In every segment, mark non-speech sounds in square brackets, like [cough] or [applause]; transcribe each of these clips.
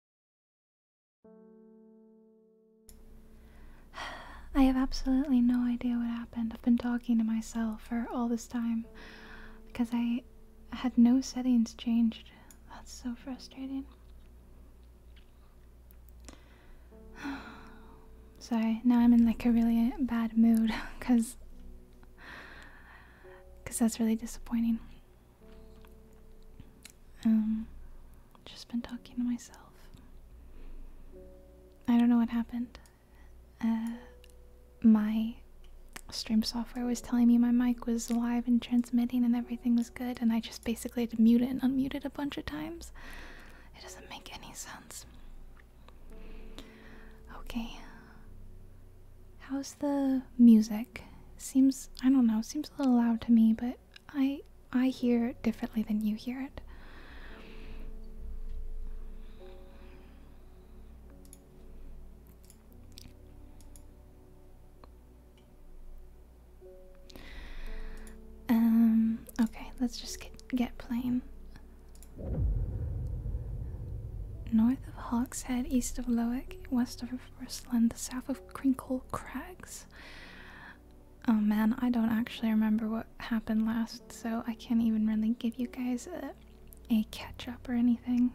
[sighs] I have absolutely no idea what happened. I've been talking to myself for all this time because I had no settings changed. That's so frustrating. [sighs] Sorry, now I'm in like a really bad mood because [laughs] because that's really disappointing. Um, just been talking to myself. I don't know what happened. Uh, my stream software was telling me my mic was live and transmitting and everything was good, and I just basically had to mute it and unmute it a bunch of times. It doesn't make any sense. Okay. How's the music seems I don't know, seems a little loud to me, but I I hear it differently than you hear it. Um, okay, let's just get, plain. North of Hawkshead, east of Lowick, west of Bristland, south of Crinkle Crags. Oh man, I don't actually remember what happened last, so I can't even really give you guys a, a catch up or anything.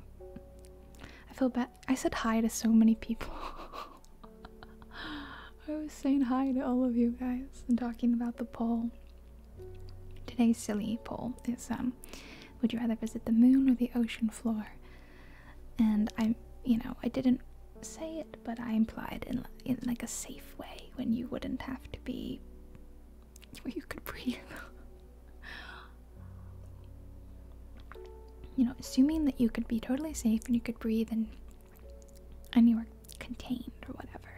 I feel bad. I said hi to so many people. [laughs] I was saying hi to all of you guys and talking about the poll. Today's silly poll is um, would you rather visit the moon or the ocean floor? and I, you know, I didn't say it, but I implied in in like a safe way when you wouldn't have to be, [laughs] where you could breathe. you know, assuming that you could be totally safe and you could breathe and and you were contained or whatever.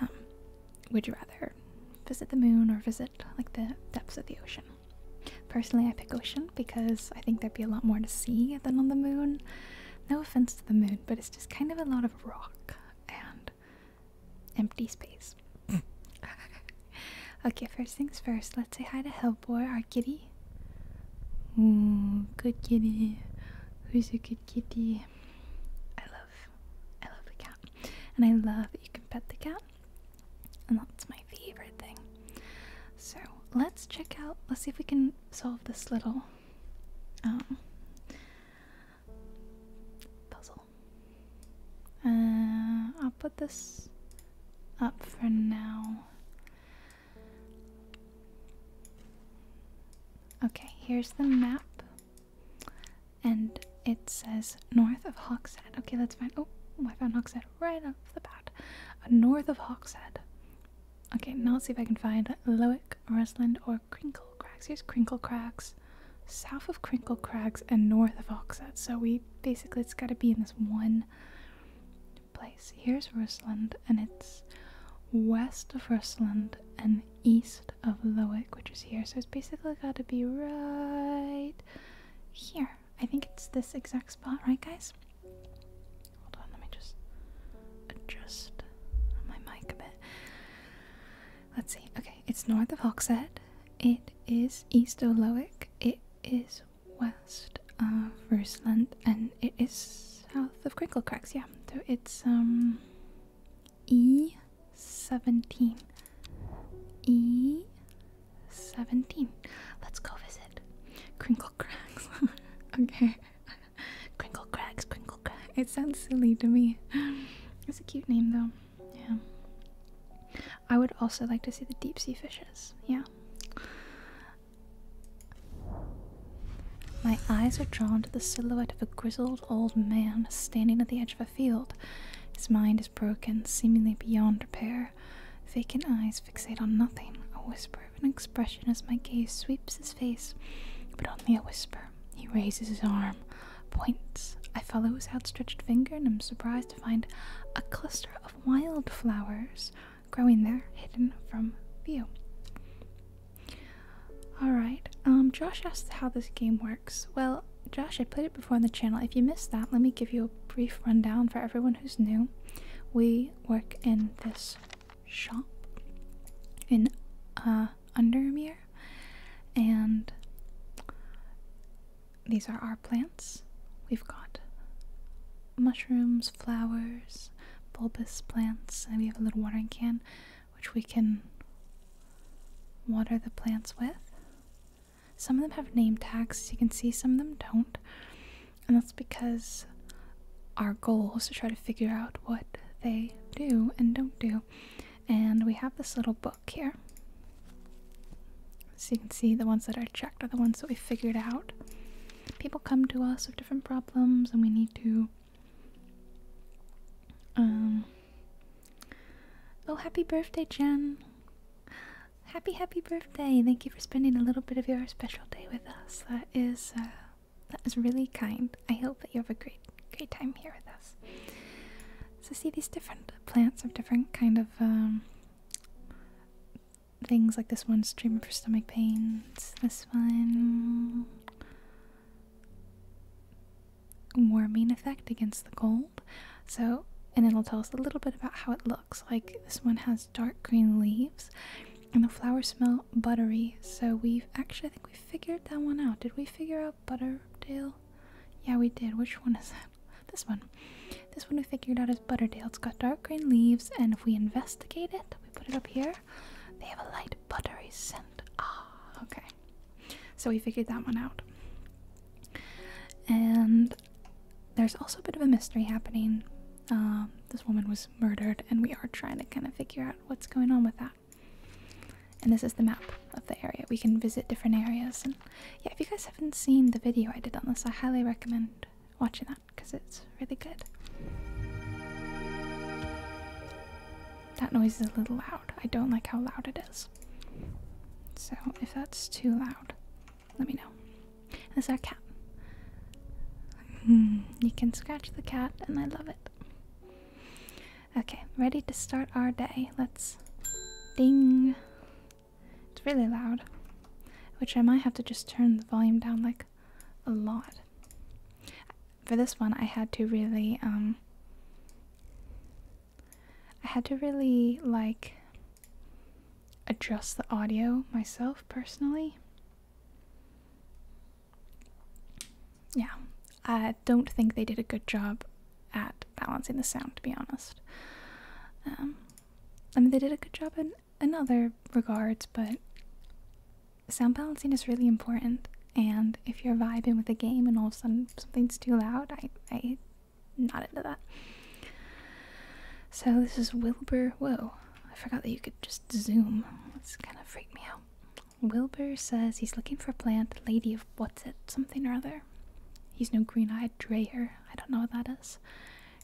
Um, would you rather visit the moon or visit like the depths of the ocean? Personally, I pick ocean because I think there'd be a lot more to see than on the moon. No offense to the moon, but it's just kind of a lot of rock and empty space. [laughs] okay, first things first, let's say hi to Hellboy, our kitty. Ooh, good kitty. Who's your good kitty? I love, I love the cat. And I love you can pet the cat. And that's my favorite thing. So let's check out, let's see if we can solve this little um, puzzle. Uh, I'll put this up for now. Okay, here's the map. And it says north of Hawkshead. Okay, let's find. Oh, I found Hawkshead right on the bat, uh, north of Hawkshead. Okay, now let's see if I can find Lowick, Rusland, or Crinkle Crags. Here's Crinkle Crags, south of Crinkle Crags, and north of Hawkshead. So we basically, it's got to be in this one place. Here's Rusland, and it's west of Rusland and east of Lowick, which is here. So it's basically got to be right here. I think it's this exact spot, right, guys? Hold on, let me just adjust my mic a bit. Let's see. Okay, it's north of Hawkshead. It is east of Lowick. It is west of Rusland, and it is south of Crinklecracks. Yeah, so it's um E seventeen. E 17. Let's go visit. Crinkle cracks. [laughs] okay. crinkle cracks, crinkle cracks. It sounds silly to me. It's a cute name though. Yeah. I would also like to see the deep sea fishes. Yeah. My eyes are drawn to the silhouette of a grizzled old man standing at the edge of a field. His mind is broken, seemingly beyond repair vacant eyes fixate on nothing, a whisper of an expression as my gaze sweeps his face, but only a whisper. He raises his arm, points. I follow his outstretched finger and am surprised to find a cluster of wildflowers growing there, hidden from view. Alright, um, Josh asked how this game works. Well, Josh, I played it before on the channel. If you missed that, let me give you a brief rundown for everyone who's new. We work in this shop in uh, Undermere, and these are our plants. We've got mushrooms, flowers, bulbous plants, and we have a little watering can which we can water the plants with. Some of them have name tags, as you can see, some of them don't. And that's because our goal is to try to figure out what they do and don't do. And we have this little book here. So you can see the ones that are checked are the ones that we figured out. People come to us with different problems and we need to um Oh happy birthday Jen happy, happy birthday! Thank you for spending a little bit of your special day with us. That is, uh, that is really kind. I hope that you have a great, great time here with us. So see these different plants of different kind of um, things. Like this one's treatment for stomach pains. This one warming effect against the cold. So, and it'll tell us a little bit about how it looks. Like this one has dark green leaves and the flowers smell buttery. So we've actually, I think we figured that one out. Did we figure out Butterdale? Yeah, we did. Which one is that? [laughs] This one. This one we figured out is Butterdale. It's got dark green leaves, and if we investigate it, we put it up here, they have a light buttery scent. Ah, okay. So we figured that one out. And there's also a bit of a mystery happening. Um, this woman was murdered, and we are trying to kind of figure out what's going on with that. And this is the map of the area. We can visit different areas. And yeah, if you guys haven't seen the video I did on this, I highly recommend watching that because it's really good. That noise is a little loud. I don't like how loud it is. So if that's too loud, let me know. And is our cat. Hmm. you can scratch the cat, and I love it. Okay, ready to start our day. Let's ding. It's really loud, which I might have to just turn the volume down like a lot. For this one, I had to really, um, I had to really like adjust the audio myself personally. Yeah, I don't think they did a good job at balancing the sound, to be honest. Um, I mean, they did a good job in, in other regards, but sound balancing is really important. And if you're vibing with a game and all of a sudden something's too loud, I, I not into that. So this is Wilbur. Whoa, I forgot that you could just zoom. It's kind of freaked me out. Wilbur says he's looking for a plant, lady of what's it, something or other. He's no green eyed drayer. I don't know what that is.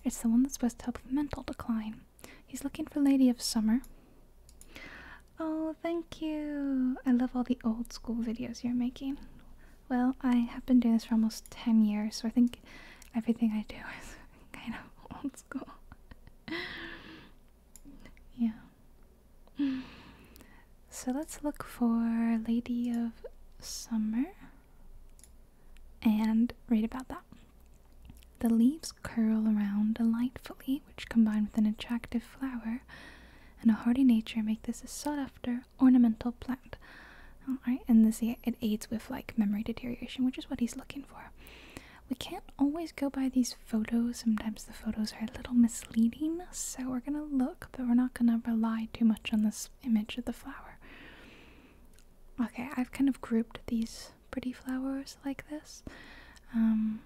It's the one that's supposed to help with mental decline. He's looking for Lady of Summer. Oh, thank you. I love all the old school videos you're making. Well, I have been doing this for almost 10 years, so I think everything I do [laughs] is kind of [laughs] old school. yeah. So let's look for Lady of Summer and read about that. The leaves curl around delightfully, which combined with an attractive flower and a hardy nature make this a sought after ornamental plant. All right, and this it aids with like memory deterioration, which is what he's looking for. We can't always go by these photos. Sometimes the photos are a little misleading, so we're gonna look, but we're not gonna rely too much on this image of the flower. Okay, I've kind of grouped these pretty flowers like this. Um,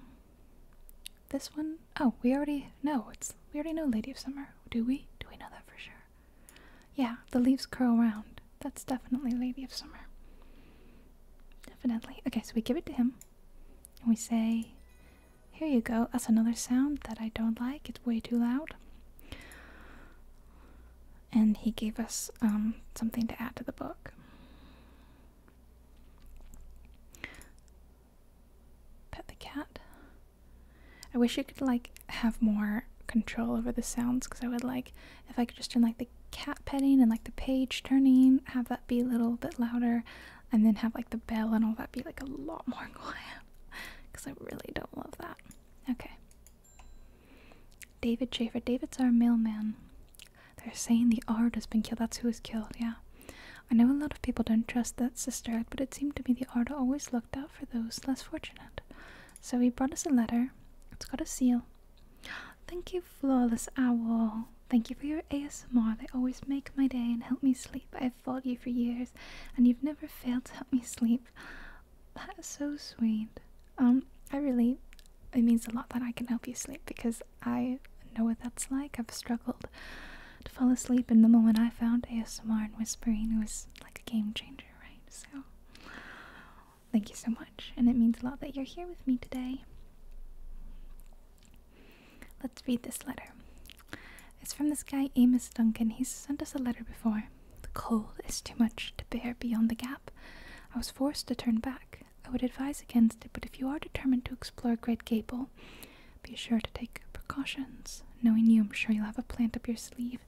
this one, oh, we already know it's we already know Lady of Summer, do we? Do we know that for sure? Yeah, the leaves curl round. That's definitely Lady of Summer. Definitely. Okay, so we give it to him. And we say, Here you go. That's another sound that I don't like. It's way too loud. And he gave us um, something to add to the book. Pet the cat. I wish you could like have more control over the sounds because I would like if I could just turn like the cat petting and like the page turning, have that be a little bit louder, and then have like the bell and all that be like a lot more [laughs] quiet because I really don't love that. Okay. David Schaefer. David's our mailman. They're saying the art has been killed. That's who was killed, yeah. I know a lot of people don't trust that sister act, but it seemed to me the art always looked out for those less fortunate. So he brought us a letter. It's got a seal. Thank you, Flawless Owl. Thank you for your ASMR. They always make my day and help me sleep. I have followed you for years and you've never failed to help me sleep. That is so sweet. Um, I really, it means a lot that I can help you sleep because I know what that's like. I've struggled to fall asleep, and the moment I found ASMR and whispering was like a game changer right? So, thank you so much, and it means a lot that you're here with me today. Let's read this letter. It's from this guy, Amos Duncan. He's sent us a letter before. The cold is too much to bear beyond the gap. I was forced to turn back. I would advise against it, but if you are determined to explore Great Gable, be sure to take precautions. Knowing you, I'm sure you'll have a plant up your sleeve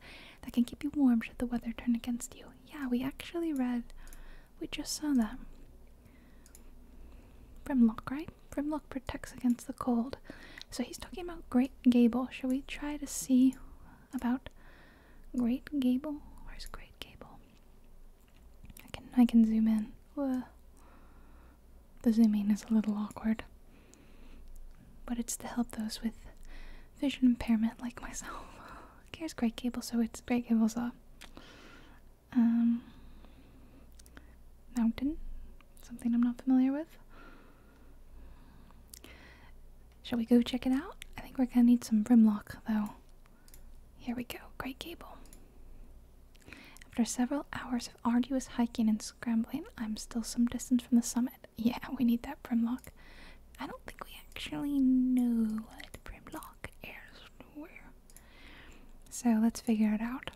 that can keep you warm should the weather turn against you. Yeah, we actually read, we just saw that. From lock, right? From lock protects against the cold. So he's talking about Great Gable. Shall we try to see about Great Gable? Where's Great Gable? I can I can zoom in. The zooming is a little awkward. But it's to help those with vision impairment like myself. [laughs] Here's Great Cable, so it's Great Cable off. Um, mountain, something I'm not familiar with. Shall we go check it out? I think we're gonna need some Brimlock though. Here we go, Great Cable. After several hours of arduous hiking and scrambling, I'm still some distance from the summit. Yeah, we need that Primlock. I don't think we actually know what Primlock is where. So let's figure it out.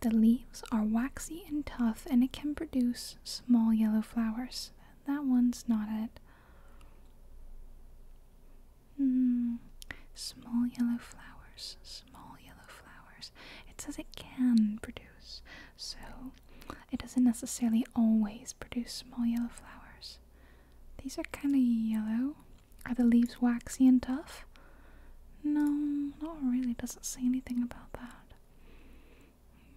The leaves are waxy and tough and it can produce small yellow flowers. That one's not it. Hmm. Small yellow flowers. Small yellow flowers. It says it can produce. So it doesn't necessarily always produce small yellow flowers. These are kind of yellow. Are the leaves waxy and tough? No, not really. Doesn't say anything about that.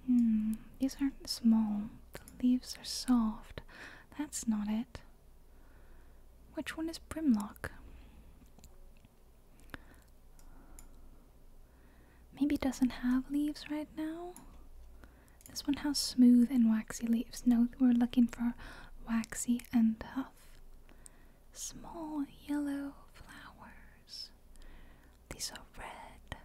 Hmm, these aren't small. The leaves are soft. That's not it. Which one is primlock? maybe doesn't have leaves right now. This one has smooth and waxy leaves. No, we're looking for waxy and tough. Small yellow flowers. These are red.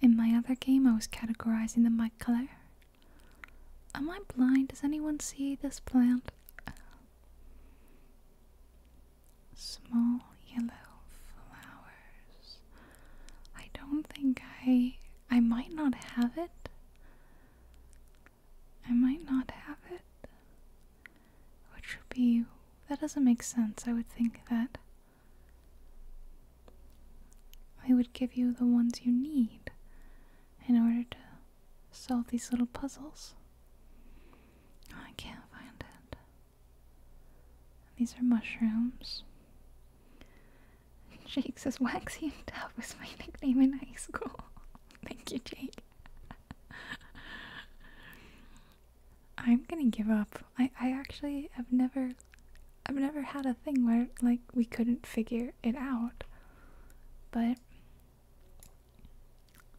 In my other game, I was categorizing them by color. Am I blind? Does anyone see this plant? small yellow flowers. I don't think I I might not have it. I might not have it. Which would be that doesn't make sense. I would think that I would give you the ones you need in order to solve these little puzzles. I can't find it. These are mushrooms. [laughs] Jake says, Waxy and Dove was my nickname in high school. [laughs] Thank you, Jake. [laughs] I'm gonna give up. I, I actually have never I've never had a thing where like we couldn't figure it out. But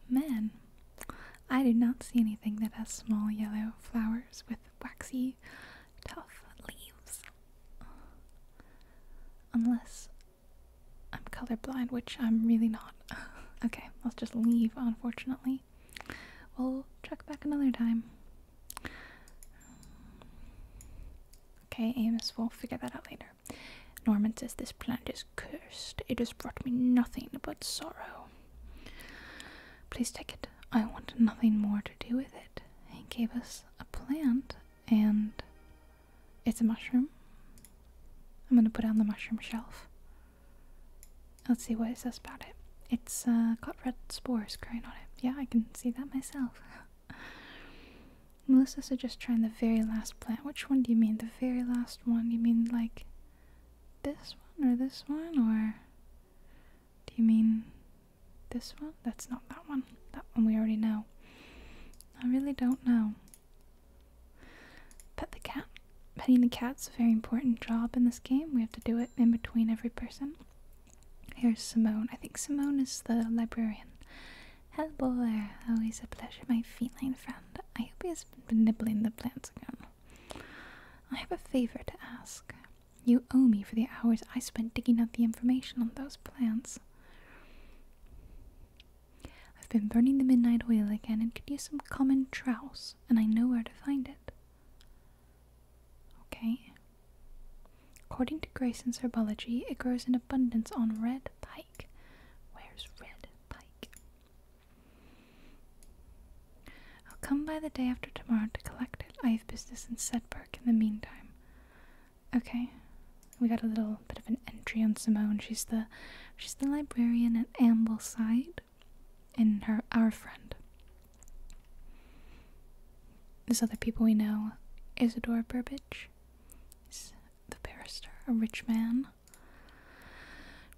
Man, I did not see anything that has small yellow flowers with waxy, tough leaves. Unless I'm colorblind, which I'm really not. [laughs] okay, let's just leave, unfortunately. We'll check back another time. Okay, Amos, we'll figure that out later. Norman says this plant is cursed. It has brought me nothing but sorrow. Please take it. I want nothing more to do with it. He gave us a plant and it's a mushroom. I'm gonna put it on the mushroom shelf. Let's see what it says about it. It's uh, got red spores growing on it. Yeah, I can see that myself. [laughs] Melissa suggests trying the very last plant. Which one do you mean? The very last one? You mean like this one or this one or do you mean this one? That's not that one. That one we already know. I really don't know. Pet the cat. Petting the cat's a very important job in this game. We have to do it in between every person. Here's Simone. I think Simone is the librarian. Hello there. Always a pleasure, my feline friend. I hope he has been nibbling the plants again. I have a favor to ask. You owe me for the hours I spent digging up the information on those plants. I've been burning the midnight oil again and could use some common trouts, and I know where to find it. Okay. According to Grayson's herbology, it grows in abundance on red pike. Where's red pike? I'll come by the day after tomorrow to collect it. I have business in Sedberg in the meantime. Okay. We got a little bit of an entry on Simone. She's the she's the librarian at Ambleside and her our friend. There's other people we know. Isidore Burbage is the barrister, a rich man.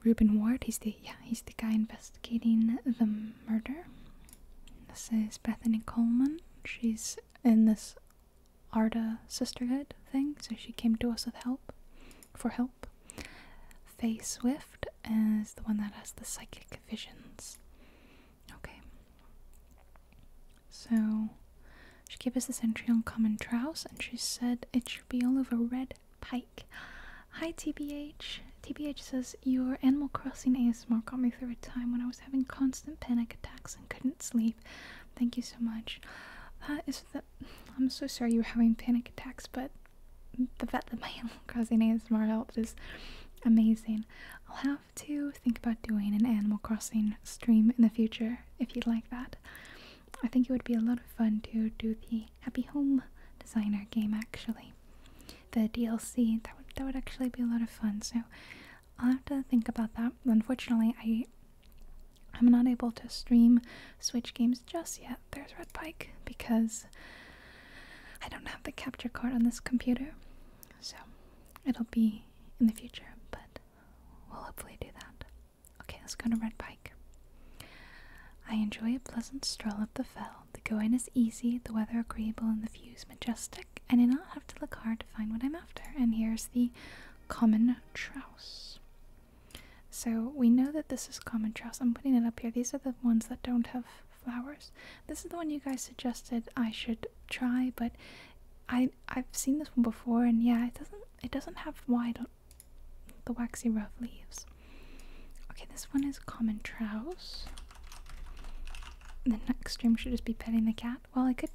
Reuben Ward. He's the yeah, he's the guy investigating the murder. This is Bethany Coleman. She's in this Arda sisterhood thing, so she came to us with help for help. Faye Swift is the one that has the psychic visions. Okay. So she gave us this entry on common trouse and she said it should be all over red Hi TBH. TBH says your Animal Crossing ASMR got me through a time when I was having constant panic attacks and couldn't sleep. Thank you so much. That is I'm so sorry you were having panic attacks, but the fact that my [laughs] Animal Crossing ASMR helped is amazing. I'll have to think about doing an Animal Crossing stream in the future if you'd like that. I think it would be a lot of fun to do the Happy Home Designer game actually. The DLC, that would, that would actually be a lot of fun, so I'll have to think about that. Unfortunately, I, I'm not able to stream Switch games just yet. There's Red Pike, because I don't have the capture card on this computer, so it'll be in the future, but we'll hopefully do that. Okay, let's go to Red Pike. I enjoy a pleasant stroll up the fell. The going is easy, the weather agreeable, and the views majestic. I do not have to look hard to find what I'm after. And here's the common trouse. So we know that this is common trouse. I'm putting it up here. These are the ones that don't have flowers. This is the one you guys suggested I should try, but I I've seen this one before, and yeah, it doesn't it doesn't have wide the waxy rough leaves. Okay, this one is common trouse. The next stream should just be petting the cat. Well, I could,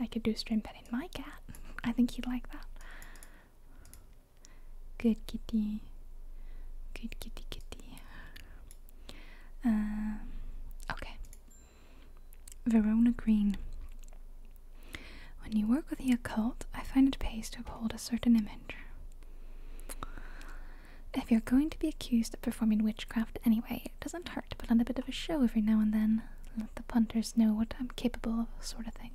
I could do stream petting my cat. [laughs] I think he'd like that. Good kitty, good kitty kitty. Um, okay. Verona Green. When you work with the occult, I find it pays to uphold a certain image. If you're going to be accused of performing witchcraft anyway, it doesn't hurt to put on a bit of a show every now and then. Let the punters know what I'm capable of, sort of thing.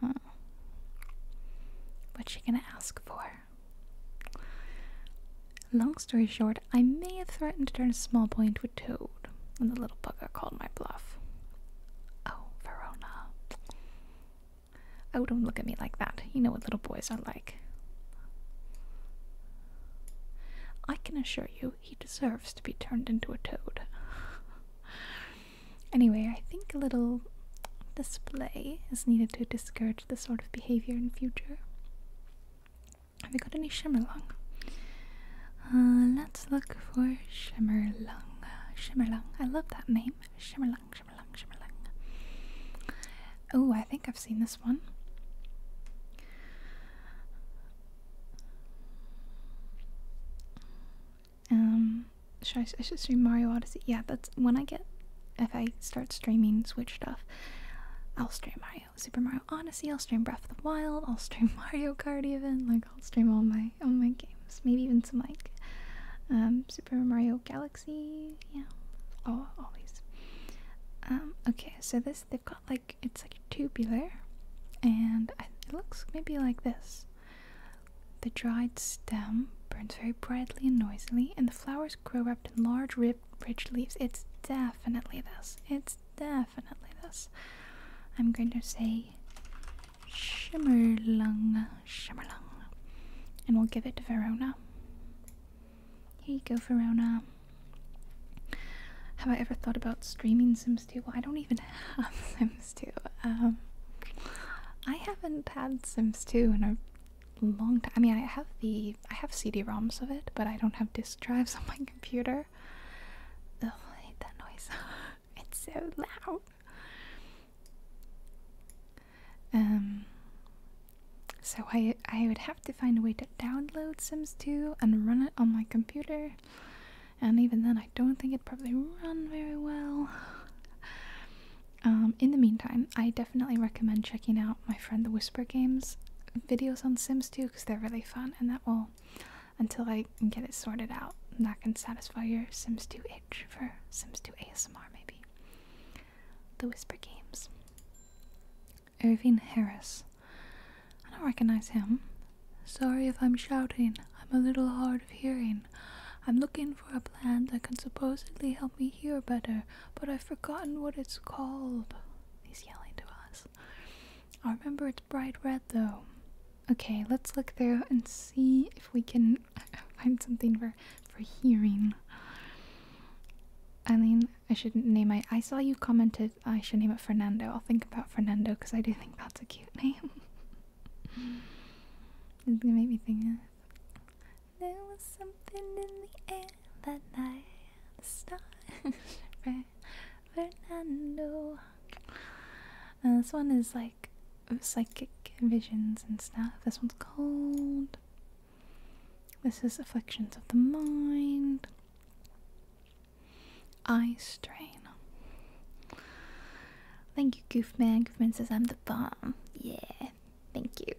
Hmm. What's she gonna ask for? Long story short, I may have threatened to turn a small boy into a toad, and the little bugger called my bluff. Oh, Verona. Oh, don't look at me like that. You know what little boys are like. I can assure you he deserves to be turned into a toad. [laughs] anyway, I think a little display is needed to discourage this sort of behavior in future. Have you got any shimmerlung? Uh, let's look for shimmerlung. Shimmerlung. I love that name. Shimmerlang, shimmerlang, shimmerlang. Oh, I think I've seen this one. Um, should I, I should stream Mario Odyssey? Yeah, that's when I get, if I start streaming Switch stuff, I'll stream Mario, Super Mario Odyssey, I'll stream Breath of the Wild, I'll stream [laughs] Mario Kart even, like I'll stream all my Oh my games. Maybe even some like um, Super Mario Galaxy. Yeah, oh, always. Um, okay, so this they've got like it's like tubular, and it looks maybe like this. The dried stem burns very brightly and noisily, and the flowers grow up in large, ribbed, rich leaves. It's definitely this. It's definitely this. I'm going to say Shimmerlung, Shimmerlung. And we'll give it to Verona. Here you go, Verona. Have I ever thought about streaming Sims 2? Well, I don't even have [laughs] Sims 2. Um, I haven't had Sims 2 in a long time. I mean, I have the I have CD-ROMs of it, but I don't have disk drives [laughs] on my computer. Ugh, hate that noise. [laughs] [laughs] it's so loud. Um, so I I would have to find a way to download Sims 2 and run it on my computer, and even then I don't think it'd probably run very well. Um, in the meantime, I definitely recommend checking out my friend the Whisper Games videos on Sims 2 because they're really fun, and that will until I get it sorted out, and that can satisfy your Sims 2 itch search for Sims to ASMR, maybe. The Whisper Games. Irving Harris. I don't recognize him. Sorry if I'm shouting. I'm a little hard of hearing. I'm looking for a plant that can supposedly help me hear better, but I've forgotten what it's called. He's yelling to us. I remember it's bright red though. Okay, let's look through and see if we can [laughs] find something for for hearing. I mean, I should name my. I saw you commented I should name it Fernando. I'll think about Fernando because I do think that's a cute name. it's gonna make me think. Of, there was something in the air that night. The stars, [laughs] Fernando. And uh, this one is like psychic visions and stuff. This one's called. This is Afflictions of the Mind. Eye Strain. Thank you, Goofman. Goofman says I'm the bomb. Yeah, thank you.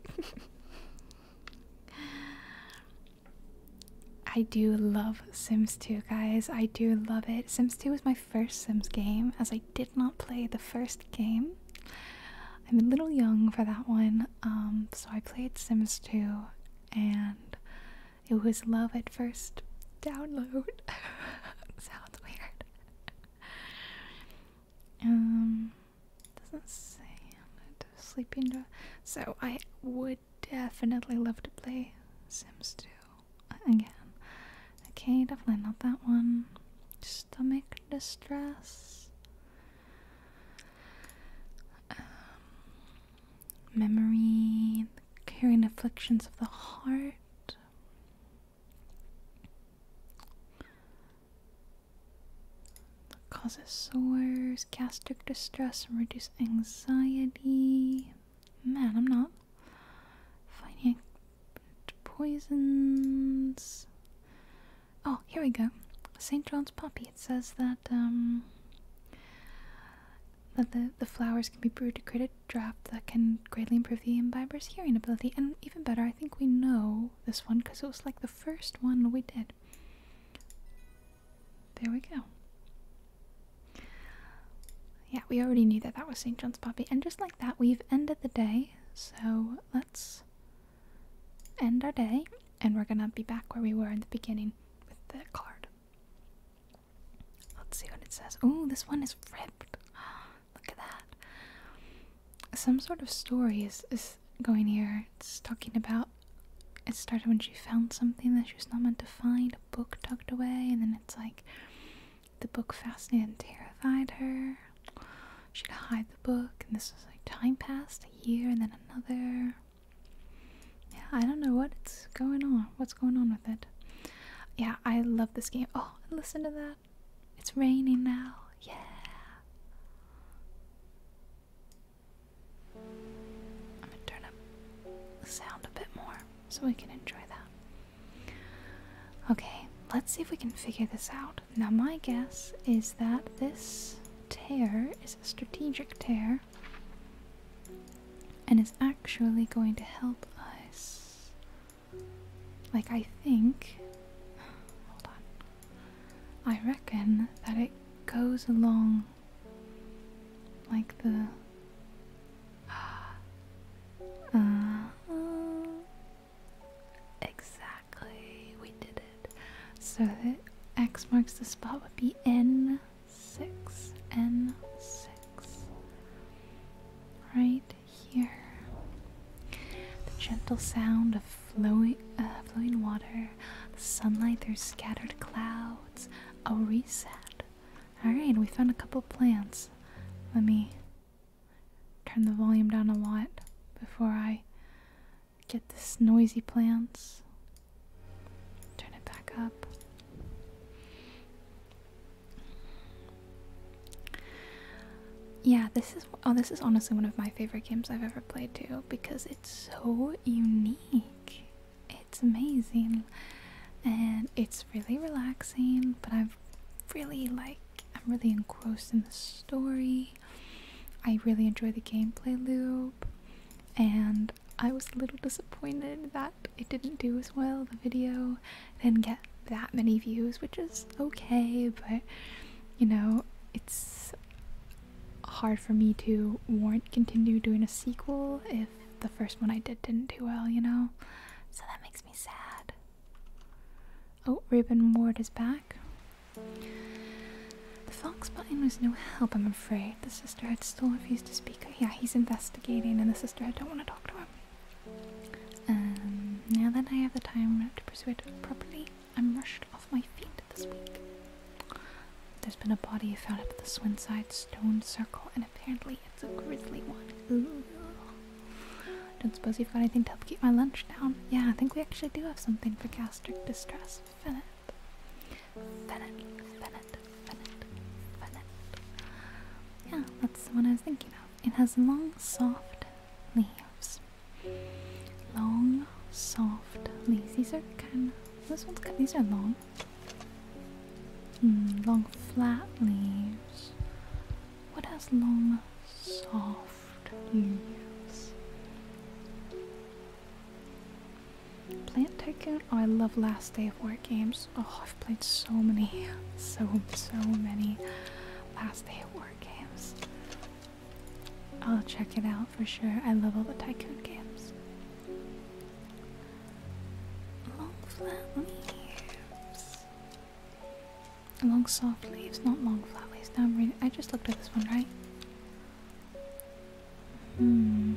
[laughs] I do love Sims 2, guys. I do love it. Sims 2 was my first Sims game, as I did not play the first game. I'm a little young for that one, um, so I played Sims 2, and it was love at first download. [laughs] Sounds weird. Um, doesn't say sleeping. So I would definitely love to play Sims 2 again. Okay, definitely not that one. Stomach distress. Um, memory, carrying afflictions of the heart. causes sores, gastric distress, and reduce anxiety. Man, I'm not Finding poisons. Oh, here we go. St. John's poppy. It says that um that the, the flowers can be brewed to create a draft that can greatly improve the imbiber's hearing ability. And even better, I think we know this one because it was like the first one we did. There we go yeah, we already knew that that was St. John's Poppy. And just like that, we've ended the day. So let's end our day. And we're going to be back where we were in the beginning with the card. Let's see what it says. Oh, this one is ripped. [gasps] Look at that. Some sort of story is, is going here. It's talking about it started when she found something that she was not meant to find, a book tucked away, and then it's like the book fascinated and terrified her. She'd hide the book, and this was like time passed a year and then another. Yeah, I don't know what's going on. What's going on with it? Yeah, I love this game. Oh, listen to that. It's raining now. Yeah. I'm gonna turn up the sound a bit more so we can enjoy that. Okay, let's see if we can figure this out. Now, my guess is that this tear is a strategic tear and is actually going to help us. Like, I think. I reckon that it goes along like the uh, exactly, we did it. So X marks the spot would be N6. N6. Right here. The gentle sound of flowing, uh, flowing water, the sunlight through scattered clouds, a reset. Alright, we found a couple plants. Let me turn the volume down a lot before I get this noisy plants. Turn it back up. Yeah, this is oh this is honestly one of my favorite games I've ever played too because it's so unique. It's amazing and it's really relaxing, but I have really like I'm really engrossed in the story. I really enjoy the gameplay loop and I was a little disappointed that it didn't do as well the video didn't get that many views, which is okay, but you know, it's hard for me to warrant continue doing a sequel if the first one I did didn't do well, you know? So that makes me sad. Oh, Reuben Ward is back. The Foxbutton was no help, I'm afraid. The sister had still refused to speak. Oh, yeah, he's investigating, and the sister had don't want to talk to him. Um, now that I have the time to pursue it properly, I'm rushed off my feet this week. There's been a body found at the Swinside Stone Circle, and apparently grizzly. It's a grizzly one. Ooh. Don't suppose you've got anything to help keep my lunch down? Yeah, I think we actually do have something for gastric distress. Fennett. Fennett. Fennett. Fennett. Fennett. Yeah, that's the one I was thinking of. It has long, soft leaves. Long, soft leaves. These are kind of... This one's got... These are long. Mm, long, flat leaves. What has long, soft leaves? Plant Tycoon. Oh, I love Last Day of War games. Oh, I've played so many, [laughs] so, so many Last Day of War games. I'll check it out for sure. I love all the Tycoon games. Long flat leaves. Long soft leaves, not long flat leaves. Now I'm reading. I just looked at this one, right? Hmm.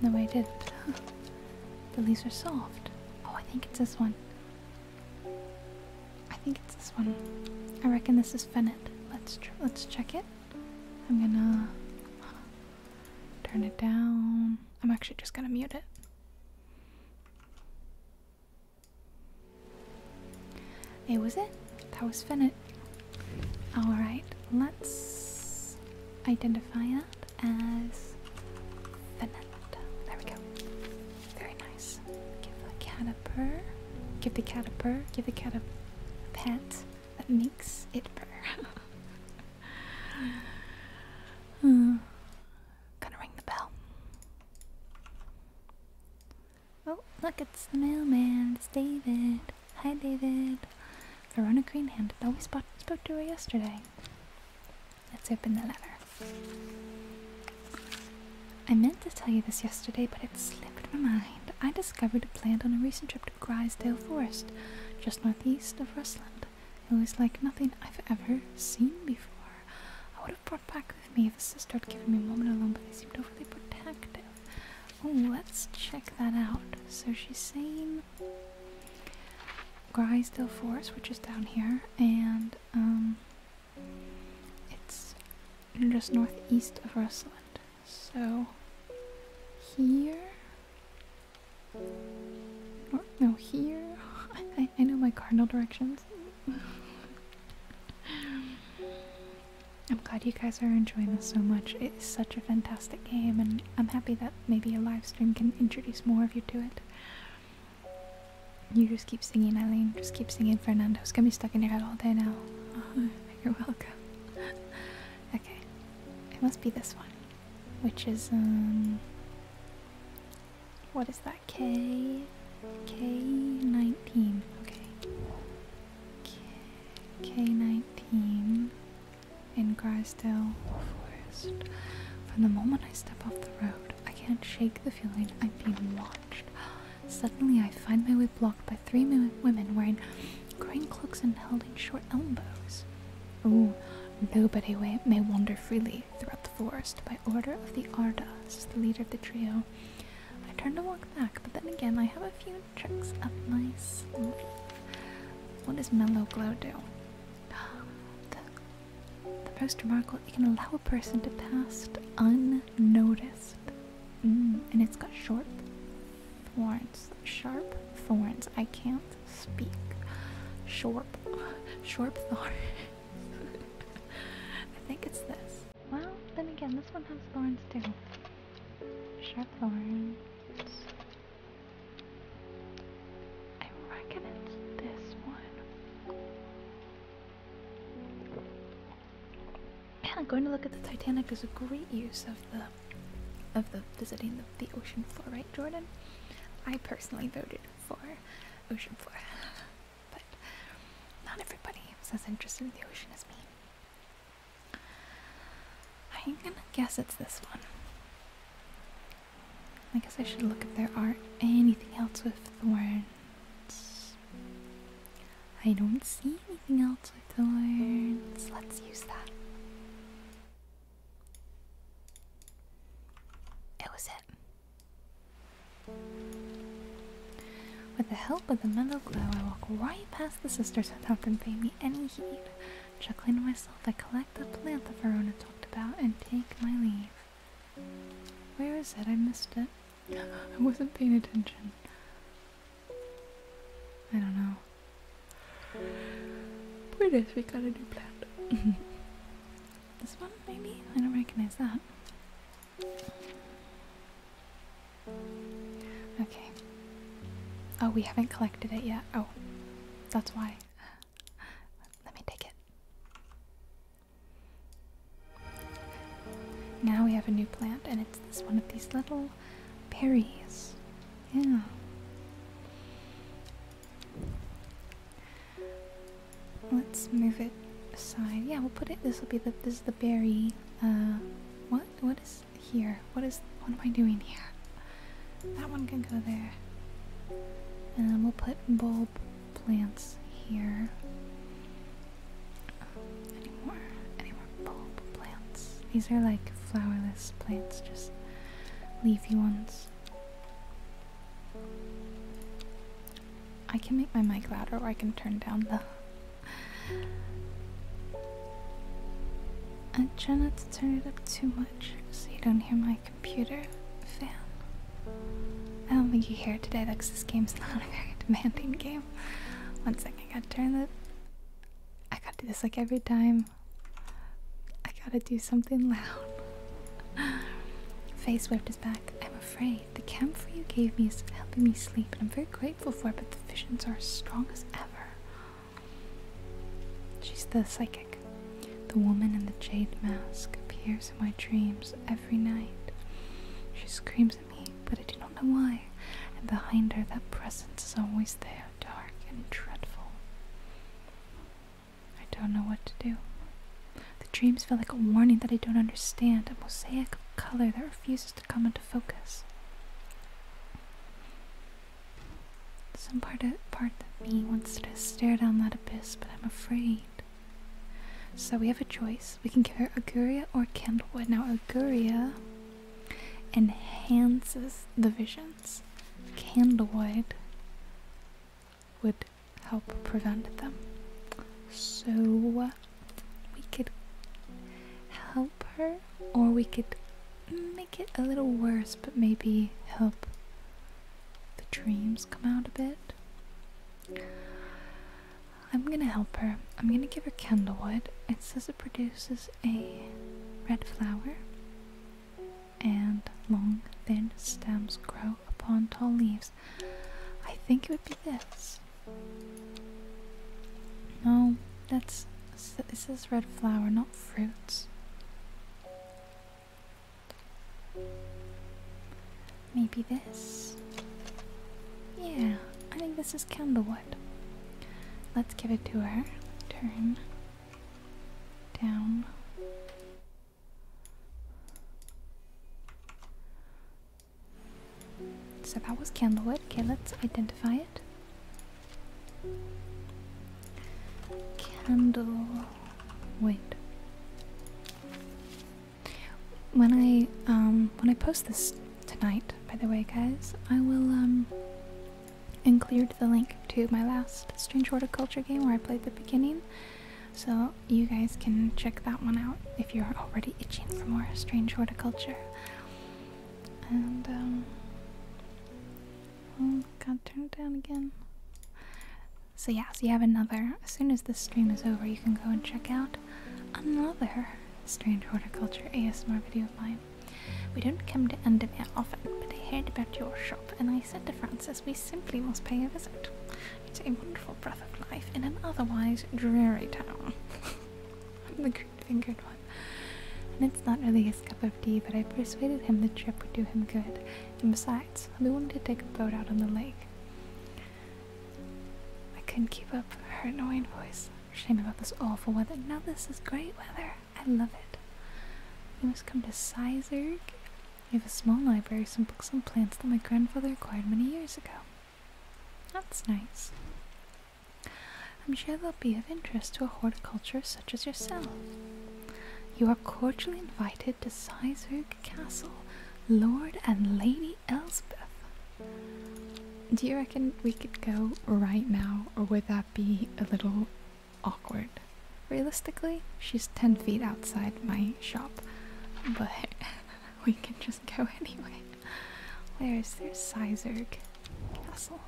No, I didn't. [laughs] the leaves are soft. Oh, I think it's this one. I think it's this one. I reckon this is Fennet. Let's let's check it. I'm gonna turn it down. I'm actually just gonna mute it. It was it. That was Finnet. Alright, let's identify it as Finnet. There we go. Very nice. Give the cat a purr. Give the cat a purr. Give the cat a pet that makes it purr. [laughs] Uh, Gonna ring the bell. Oh, look, it's the mailman. It's David. Hi, David. Verona Greenhand. That we spoke, spoke to her yesterday. Let's open the letter. I meant to tell you this yesterday, but it slipped my mind. I discovered a plant on a recent trip to Grisdale Forest, just northeast of Rusland. It was like nothing I've ever seen before. I would have brought back with me if the sister had given me a moment alone, but they seemed overly protective. Oh, let's check that out. So she's saying Grysdale Forest, which is down here, and um, it's just northeast of Rustland. So here, or, no, here. [laughs] I, know my cardinal directions. I'm glad you guys are enjoying this so much. It's such a fantastic game, and I'm happy that maybe a livestream can introduce more of you to it. You just keep singing, Eileen. Just keep singing, Fernando. It's gonna be stuck in your head all day now. [laughs] you're welcome. [laughs] okay, it must be this one, which is um, what is that K K nineteen. Okay. K nineteen in Grisdale Forest. From the moment I step off the road, I can't shake the feeling I'm being watched. Suddenly, I find my way blocked by three women wearing green cloaks and holding short elbows. Oh, nobody may wander freely throughout the forest by order of the Ardas, the leader of the trio. I turned to walk back, but then again I have a few tricks up my sleeve. What does Mellow Glow do? [sighs] The, the most remarkable, it can allow a person to pass unnoticed. Mm, and it's got short thorns, sharp thorns. I can't speak. Short, [laughs] shorp thorns. [laughs] I think it's this. Well, then again, this one has thorns too. Sharp thorns. I reckon it's this one. I'm going to look at the Titanic is a great use of the of the visiting the ocean floor, right, Jordan? I personally voted for ocean floor. [laughs] but not everybody is as interested in the ocean as me. I'm gonna guess it's this one. I guess I should look if there are anything else with thorns. I don't see anything else with thorns. Let's use that. It was it. With the help of the mellow glow, I walk right past the sisters without them paying me any heed. Chuckling to myself, I collect the plant that Verona talked about and take my leave. Where is it? I missed it. [laughs] I wasn't paying attention. I don't know. Point is, we got to do plant. [laughs] This one, maybe? I don't recognize that. Okay. Oh, we haven't collected it yet. Oh, that's why. Let me take it. Now we have a new plant, and it's this one of these little berries. Yeah. Let's move it aside. Yeah, we'll put it. This will be the. This is the berry. Uh, what? What is here? What is? What am I doing here? That one can go there. And then we'll put bulb plants here. Any more? Any more bulb plants? These are like flowerless plants, just leafy ones. I can make my mic louder or I can turn down the. I try not to turn it up too much so you don't hear my computer fan. I don't think you hear it today Like this game's [laughs] not a very demanding game. One second, I gotta turn the. I gotta do this like every time. I gotta do something loud. [laughs] Faced with I'm afraid. The camphor you gave me is helping me sleep, and I'm very grateful for it, but the visions are as strong as ever. She's the psychic. The woman in the jade mask appears in my dreams every night. She screams at me, but I do not know why. And behind her, that presence is always there, dark and dreadful. I don't know what to do. The dreams feel like a warning that I don't understand, a mosaic of color that refuses to come into focus. Some part of, part of me wants to stare down that abyss, but I'm afraid. So we have a choice. We can give her Aguria or Candlewood. Now Aguria enhances the visions. Candlewood would help prevent them. So uh, we could help her, or we could make it a little worse, but maybe help the dreams come out a bit. I'm gonna help her. I'm gonna give her candlewood. It says it produces a red flower, and long, thin stems grow upon tall leaves. I think it would be this. No, that's this is red flower, not fruits. Maybe this. Yeah, I think this is candlewood. Let's give it to her. Turn down so that was candlewood. Okay, let's identify it. Candlewood. When I um, when I post this tonight, by the way, guys, I will um, include the link to my last Strange Horticulture game where I played the beginning. So you guys can check that one out if you're already itching for more strange horticulture. And um oh, turn it down again. So yeah, so you have another. As soon as this stream is over, you can go and check out another strange horticulture ASMR video of mine. We don't come to Endermere often, but I heard about your shop and I said to Francis we simply must pay a visit. It's a wonderful breath of life in an otherwise dreary town. [laughs] I'm the green-fingered one. And it's not really his cup of tea, but I persuaded him the trip would do him good. And besides, we wanted to take a boat out on the lake. I couldn't keep up her annoying voice. Shame about this awful weather. Now this is great weather. I love it. We must come to Sizerg I have a small library, some books on plants that my grandfather acquired many years ago. That's nice. I'm sure they'll be of interest to a horticulturist such as yourself. You are cordially invited to Seisvig Castle, Lord and Lady Elspeth. Do you reckon we could go right now, or would that be a little awkward? realistically. She's 10 feet outside my shop, but [laughs] we can just go anyway. Where's there's Sizerg Castle?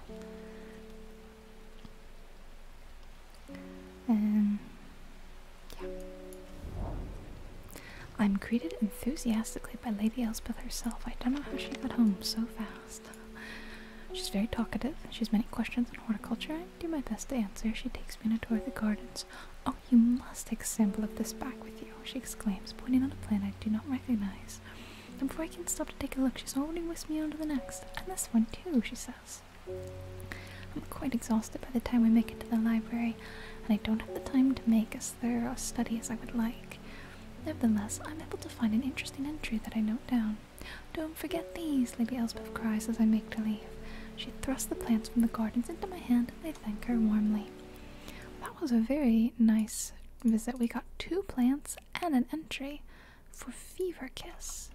Um, yeah. I'm greeted enthusiastically by Lady Elspeth herself. I don't know how she got home so fast. She's very talkative. She has many questions on horticulture do my best to answer. She takes me on a tour of the gardens. Oh, you must take a sample of this back with you, she exclaims, pointing at a plant I do not recognize. And before I can stop to take a look, she's already whisked me on to the next. And this one too, she says. I'm quite exhausted by the time we make it to the library, and I don't have the time to make as thorough a study as I would like. Nevertheless, I'm able to find an interesting entry that I note down. Don't forget these, Lady Elspeth cries as I make to leave. She thrust the plants from the gardens into my hand, and I thanked her warmly. That was a very nice visit. We got two plants and an entry for Fever Kiss.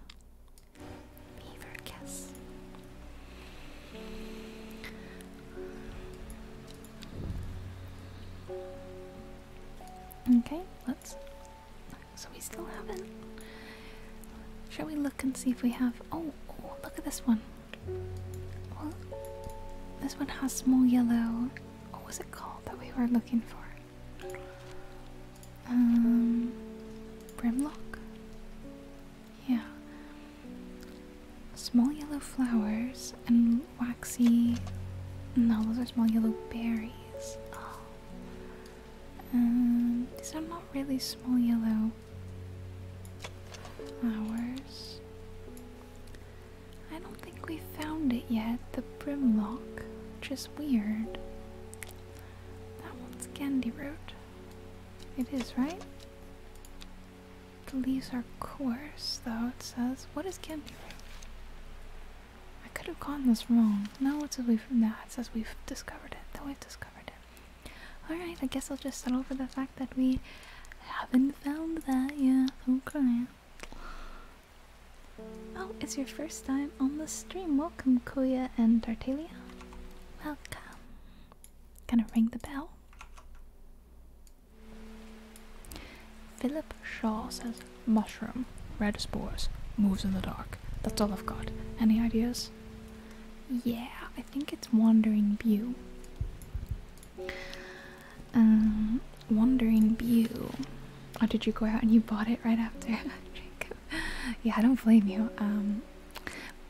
Fever Kiss. Okay, let's. So we still haven't should we look and see if we have. Oh, oh look at this one. this one has small yellow. What was it called that we were looking for? Um, Brimlock? Yeah. Small yellow flowers and waxy. No, those are small yellow berries. Oh these are not really small yellow flowers. I don't think we found it yet, the brimlock, which is weird. That one's candy root. It is, right? The leaves are coarse, though, it says. What is candy root? I could have gotten this wrong. Now it says we've, nah, it says we've discovered it, That we've discovered it. Alright, I guess I'll just settle for the fact that we haven't found that yet. Okay. Oh, it's your first time on the stream. Welcome, Koya and Tartalia. Welcome. Gonna ring the bell. Philip Shaw says mushroom, red spores, moves in the dark. That's all I've got. Any ideas? Yeah, I think it's Wandering View. Um, Wandering View. Oh, did you go out and you bought it right after? [laughs] yeah, I don't blame you. Um,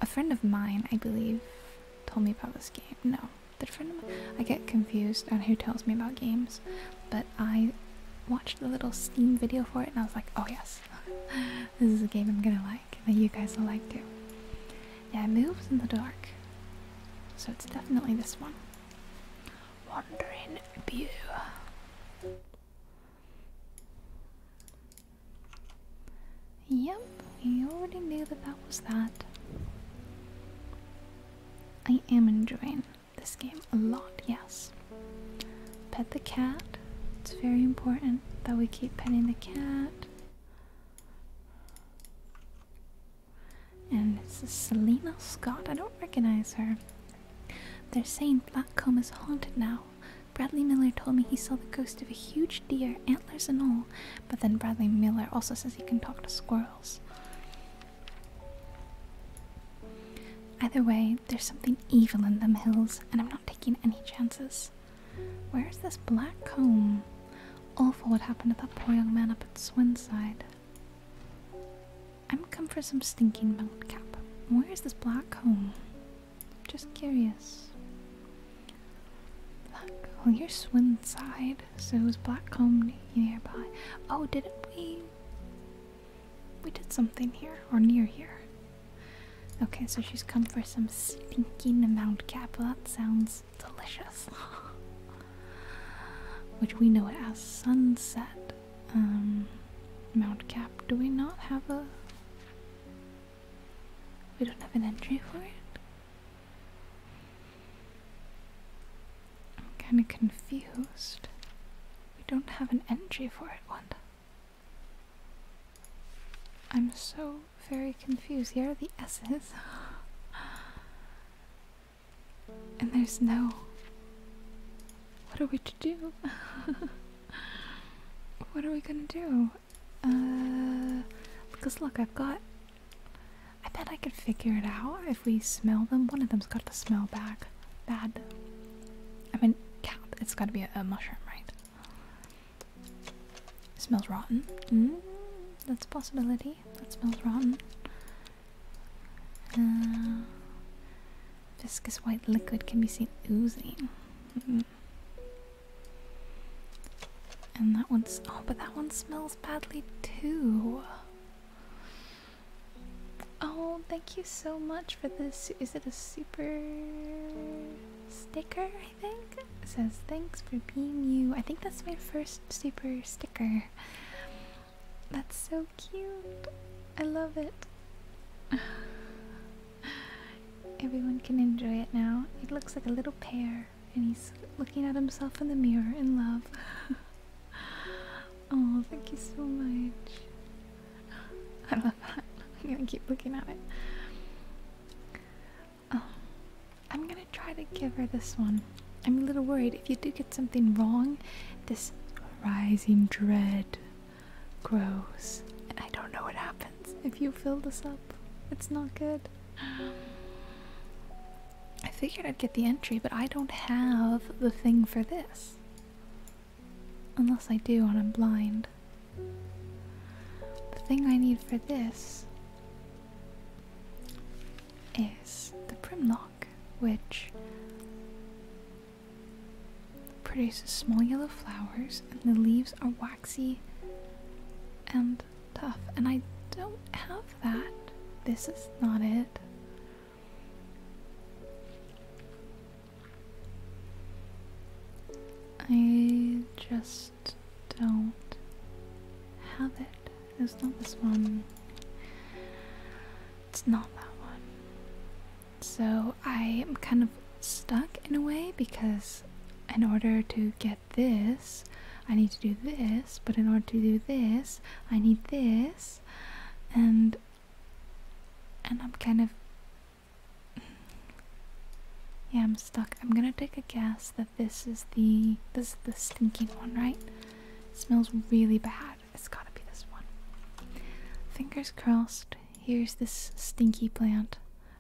a friend of mine, I believe, told me about this game. No, the friend of mine. I get confused on who tells me about games, but I watched the little Steam video for it and I was like, oh yes. [laughs] this is a game I'm gonna like, that you guys will like too. Yeah, it moves in the dark. So it's definitely this one. Wandering View. Yep, you already knew that that was that. I am enjoying this game a lot, yes. Pet the cat. It's very important that we keep petting the cat. And this is Selena Scott. I don't recognize her. They're saying Blackcomb is haunted now. Bradley Miller told me he saw the ghost of a huge deer, antlers and all. But then Bradley Miller also says he can talk to squirrels. Either way, there's something evil in them hills, and I'm not taking any chances. Where is this black comb? Awful what happened to that poor young man up at Swinside. I'm come for some stinking cap. Where is this black comb? Just curious. Black, well, oh, you're Swinside, so is Blackcomb nearby? Oh, didn't we? We did something here or near here. Okay, so she's come for some stinking amount cap. Well, that sounds delicious. [laughs] Which we know as sunset. Um, Mount Cap. Do we not have a? We don't have an entry for it. I'm kind of confused. We don't have an entry for it. Wanda. I'm so very confused. Here are the S's. [gasps] and there's no. What are we to do? [laughs] what are we gonna do? Uh, because look, I've got. I bet I could figure it out if we smell them. One of them's got to smell bad. Bad. I mean, cat. It's gotta be a mushroom, right? smells rotten. Mm, that's a possibility. That smells rotten. Uh, viscous white liquid can be seen oozing. Mm-hmm. And that one's. Oh, but that one smells badly too. Oh, thank you so much for this. Is it a super sticker, I think. says, Thanks for being you. I think that's my first super sticker. That's so cute. I love it. [sighs] Everyone can enjoy it now. It looks like a little pear, and he's looking at himself in the mirror in love. [laughs] oh, thank you so much. [laughs] I love that. I'm gonna keep looking at it. Um, I'm gonna try to give her this one. I'm a little worried if you do get something wrong, this rising dread grows. And I don't know what happens if you fill this up. It's not good. I figured I'd get the entry, but I don't have the thing for this. Unless I do and I'm blind. The thing I need for this is the Primlock, which produces small yellow flowers and the leaves are waxy and tough. And I don't have that. This is not it. I just don't have it. It's not this one. It's not that one. So I am kind of stuck in a way because in order to get this, I need to do this, but in order to do this, I need this, and and I'm kind of yeah, I'm stuck. I'm gonna take a guess that this is the this is the stinking one, right? smells really bad. It's gotta be this one. Fingers crossed. Here's this stinky plant.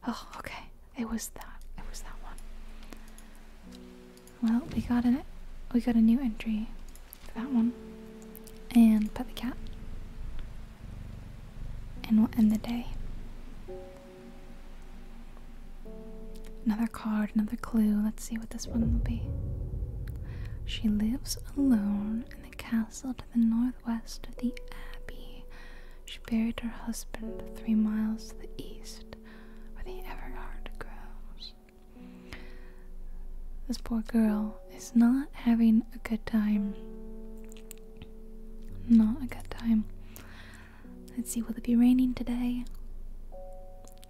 Oh, okay. It was that. It was that one. Well, we got an we got a new entry for that one. And pet the cat and we'll end the day. Another card, another clue. Let's see what this one will be. She lives alone in the castle to the northwest of the abbey. She buried her husband three miles to the east, where the Everard grows. This poor girl is not having a good time. Not a good time. Let's see, will it be raining today?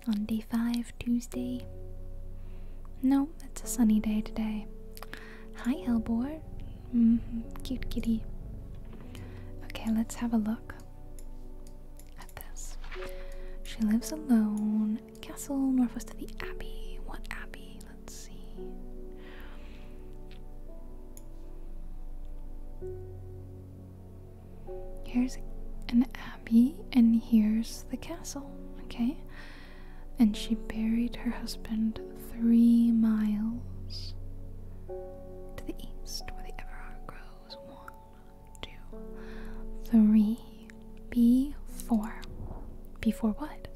On day 5, Tuesday? No, it's a sunny day today. Hi, Hellbore. Mm mm-hmm, cute kitty. Okay, let's have a look at this. She lives alone. Castle northwest of the Abbey. What Abbey? Let's see. Here's an abbey, and here's the castle, okay? And she buried her husband three miles to the east, where the Everard grows. One, two, three, B, four. Before what?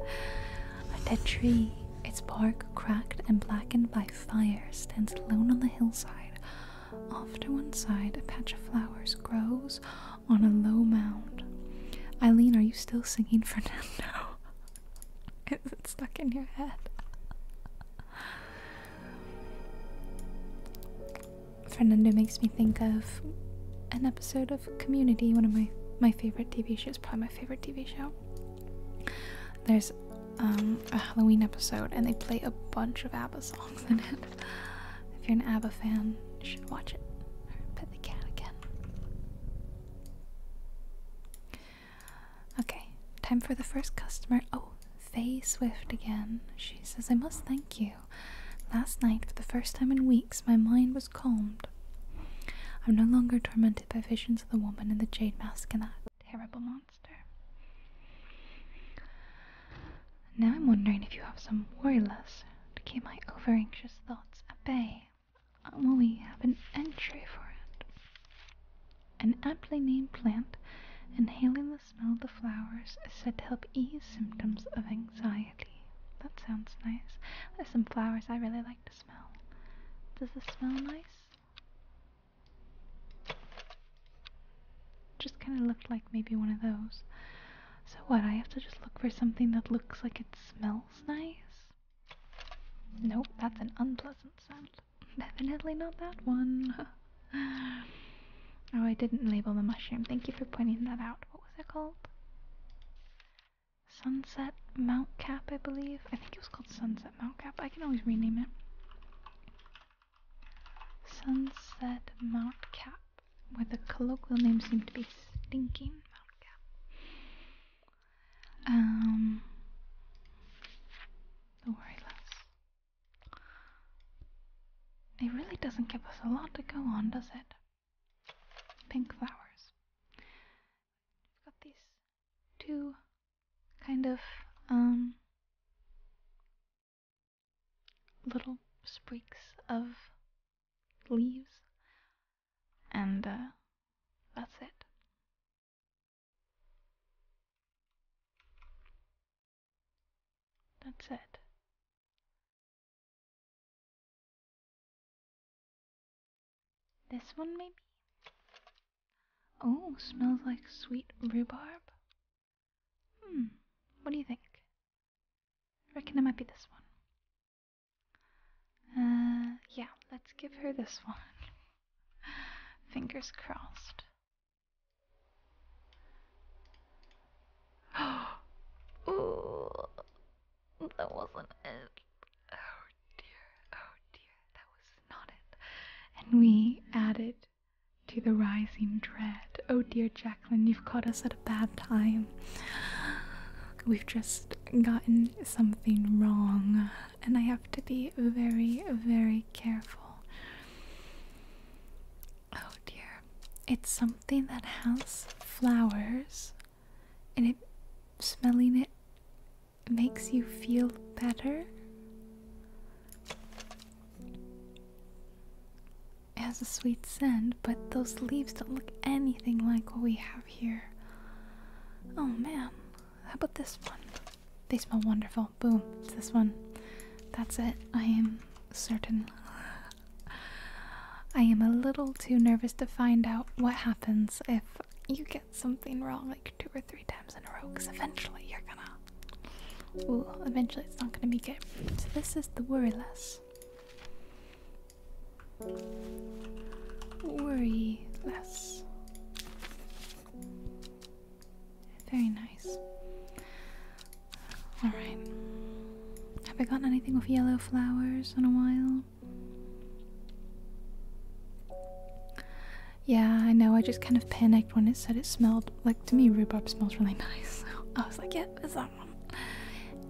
A dead tree, its bark cracked and blackened by fire, stands alone on the hillside. Off to one side, a patch of flowers grows on a low mound. Eileen, are you still singing Fernando? [laughs] Is it stuck in your head? Fernando makes me think of an episode of. Community, one of my my favorite TV shows, probably my favorite TV show. There's um, a Halloween episode, and they play a bunch of ABBA songs in it. [laughs] If you're an ABBA fan, you should watch it. Pet the cat again. Okay, time for the first customer. Oh, Faye Swift again. She says, I must thank you. Last night, for the first time in weeks, my mind was calmed I'm no longer tormented by visions of the woman in the jade mask and that terrible monster. Now I'm wondering if you have some less to keep my over anxious thoughts at bay. Will we have an entry for it? An aptly named plant inhaling the smell of the flowers is said to help ease symptoms of anxiety. That sounds nice. There's some flowers I really like does this smell nice? Just kind of looked like maybe one of those. So, what? I have to just look for something that looks like it smells nice? Nope, that's an unpleasant scent. [laughs] Definitely not that one. [laughs] oh, I didn't label the mushroom. Thank you for pointing that out. What was it called? Sunset Mount Cap, I believe. I think it was called Sunset Mount Cap. I can always rename it. Sunset Mount Cap, where the colloquial name seemed to be Stinking Mount Cap. Um, don't worry, Les. It really doesn't give us a lot to go on, does it? pink flowers. We've got these two kind of um, little sprigs of leaves, and uh, that's it. That's it. This one, maybe? Oh, smells like sweet rhubarb. Hmm, what do you think? I reckon it might be this one. Uh, yeah, let's give her this [laughs] one. Fingers crossed. [gasps] That wasn't it. Oh dear, oh dear, that was not it. And we added to the rising dread. Oh dear, Jacqueline, you've caught us at a bad time. We've just gotten something wrong, and I have to be very, very careful. Oh dear. It's something that has flowers and it smelling it makes you feel better. It has a sweet scent, but those leaves don't look anything like what we have here. Oh ma'am, how about this one? They smell wonderful. Boom, it's this one. That's it. I am certain. I am a little too nervous to find out what happens if you get something wrong like two or three times in a row because eventually you're gonna. Ooh, eventually it's not gonna be good. So, this is the worry less. Worry less. Very nice. Alright. Have I gotten anything with yellow flowers in a while? Yeah, I know. I just kind of panicked when it said it smelled. Like, to me, rhubarb smells really [laughs] nice. I was like, yeah, it's that one.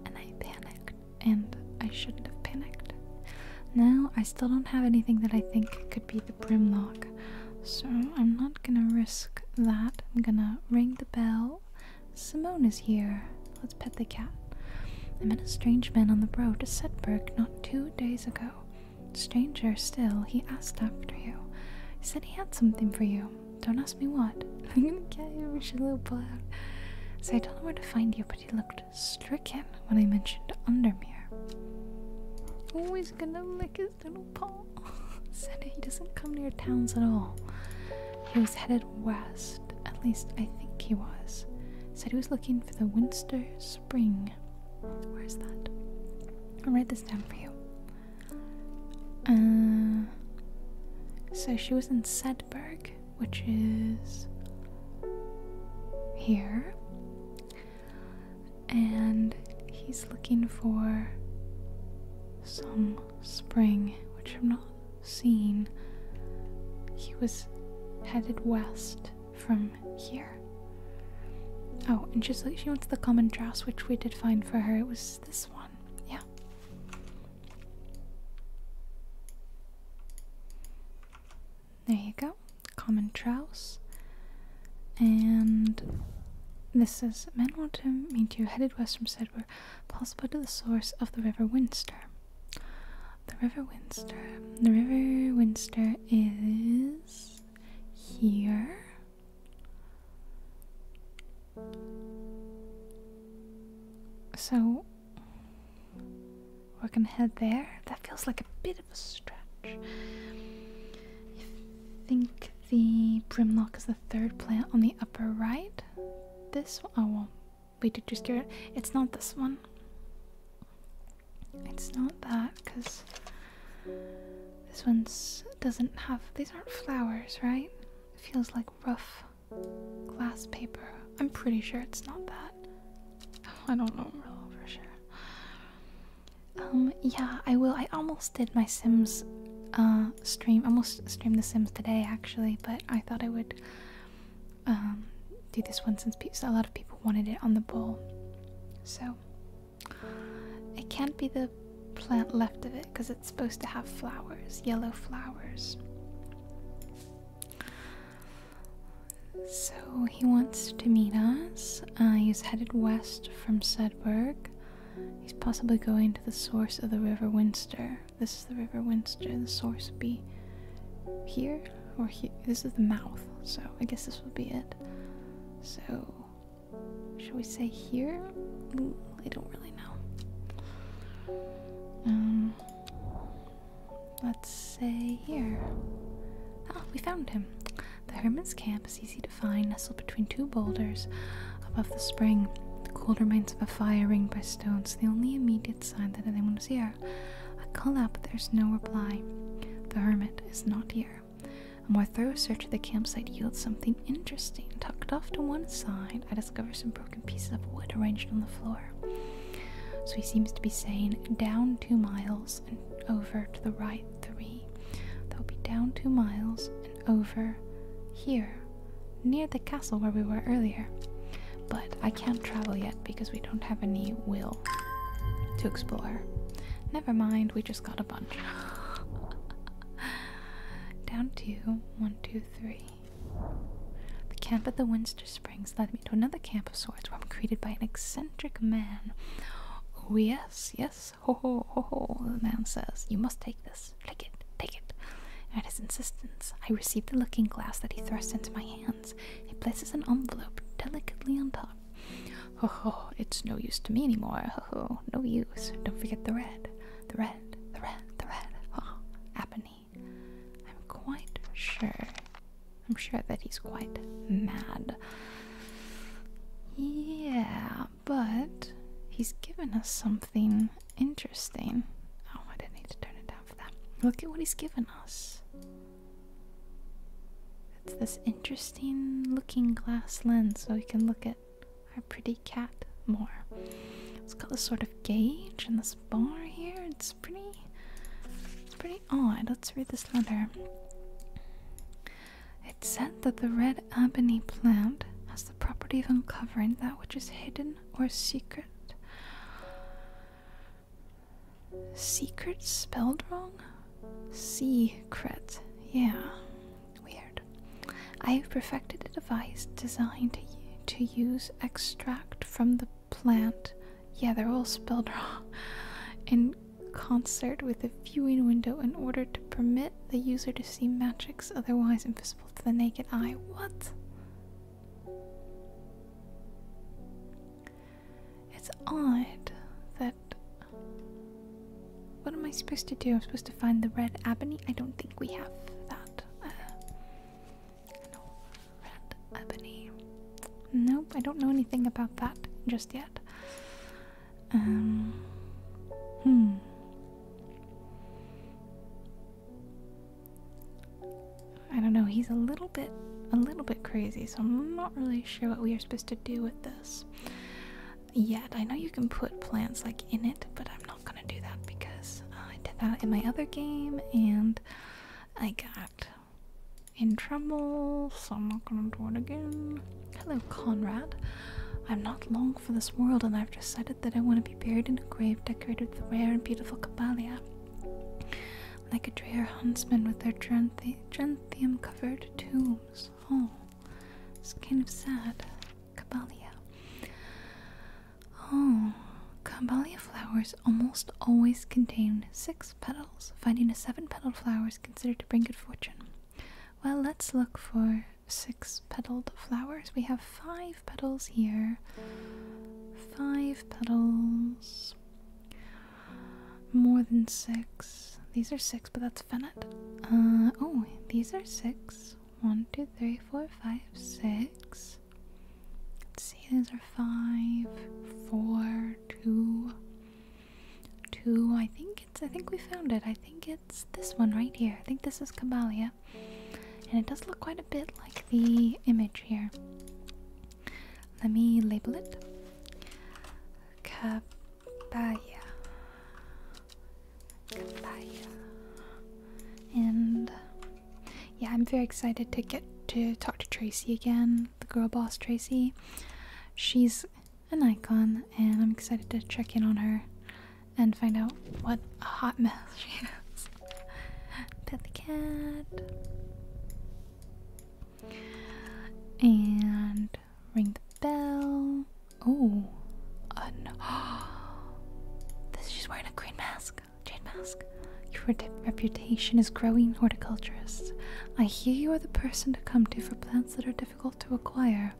And I panicked. And I shouldn't have panicked. Now, I still don't have anything that I think could be the Brimlock. So I'm not gonna risk that. I'm gonna ring the bell Simone is here. Let's pet the cat. I met a strange man on the road to Setberg not two days ago. Stranger still, he asked after you. He said he had something for you. Don't ask me what. [laughs] I'm gonna get you, Richelieu Blood. So I don't know where to find you, but he looked stricken when I mentioned Undermere. Oh, he's gonna lick his little paw. [laughs] said he doesn't come near towns at all. He was headed west at least I think he was, said he was looking for the Winster Spring. Where is that? I'll write this down for you. Uh, so she was in Sedberg, which is here, and he's looking for some spring, which I'm not seen. He was headed west from here. Oh, and just like she wants the common dress, which we did find for her, it was this one. Yeah. There you go, common trouse. And this is men want to meet you headed west from Sedward possible to the source of the River Winster. The River Winster. The River Winster is here. So we're gonna head there. That feels like a bit of a stretch. I think the Brimlock is the third plant on the upper right. This one, oh well, Wait, did you scare it? It's not this one. It's not that, because this one doesn't have these aren't flowers, right? feels like rough glass paper. I'm pretty sure it's not that. [laughs] I don't know for sure. Um, yeah, I will. I almost did my Sims uh stream. Almost streamed the Sims today actually, but I thought I would um, do this one since a lot of people wanted it on the bowl. So it can't be the plant left of it because it's supposed to have flowers, yellow flowers. So he wants to meet us. Uh, he's headed west from Sedberg. He's possibly going to the source of the River Winster. This is the River Winster, the source would be here or here. This is the mouth, so I guess this would be it. So, shall we say here? I don't really know. Um, let's say here. oh, we found him. The hermit's camp is easy to find, nestled between two boulders above the spring. The cold remains of a fire ringed by stones, the only immediate did sign that the demonosia. I call out, but there's no reply. The hermit is not here. A more thorough search of the campsite yields something interesting. Tucked off to one side, I discover some broken pieces of wood arranged on the floor. So he seems to be saying down two miles and over to the right three. That'll be down two miles and over here near the castle where we were earlier. But I can't travel yet because we don't have any will to explore. Never mind, we just got a bunch. [laughs] Down two, one, two, three. The camp at the Winster Springs led me to another camp of sorts where I'm greeted by an eccentric man. Oh, yes, yes, ho ho ho the man says. You must take this. Take it, take it." At his insistence, I received the looking glass that he thrust into my hands. He places an envelope delicately on top. Oh, ho, it's no use to me anymore. Oh, ho, no use. Don't forget the red. The red, the red, the red. Oh, Apony. I'm quite sure. I'm sure that he's quite mad. Yeah, but he's given us something interesting. Oh, I didn't need to turn it down. Look at what he's given us. It's this interesting looking glass lens so we can look at our pretty cat more. It's got this sort of gauge and this bar here. It's pretty pretty odd. Let's read this letter. It said that the red ebony plant has the property of uncovering that which is hidden or secret? Secret spelled wrong? Secret. Yeah. Weird. I have perfected a device designed to, to use extract from the plant. Yeah, they're all spelled [laughs] wrong. In concert with a viewing window in order to permit the user to see magics otherwise invisible to the naked eye. What? It's odd that. What am I supposed to do? I'm supposed to find the red ebony? I don't think we have that. Uh, no, Nope, I don't know anything about that just yet. Um, hmm. I don't know, he's a little bit a little bit crazy, so I'm not really sure what we are supposed to do with this yet. I know you can put plants like in it, but I'm not gonna do that because I did that in my other game and I got in trouble, so I'm not gonna do it again. Hello, Conrad. I'm not long for this world, and I've decided that I want to be buried in a grave decorated with rare and beautiful Kabbalia like a drear huntsman with their gentium covered tombs. Oh, it's kind of sad. Caballia. Oh, Caballia flowers almost always contain six petals. Finding a seven petaled flower is considered to bring good fortune. Well, let's look for six petalled flowers. We have five petals here, five petals, more than six. These are six, but that's Fennet. Uh, oh, these are six. One, two, three, four, five, six. Let's see, these are five, four, two, two. I think it's, I think we found it. I think it's this one right here. I think this is Kabalia and it does look quite a bit like the image here. Let me label it Kabaya. Kabaya. And yeah, I'm very excited to get to talk to Tracy again, the girl boss Tracy. She's an icon, and I'm excited to check in on her and find out what a hot mess [laughs] she is. Pet the cat. And ring the bell. Oh, uh, [gasps] this she's wearing a green mask, jade mask. Your reputation is growing, horticulturist. I hear you are the person to come to for plants that are difficult to acquire.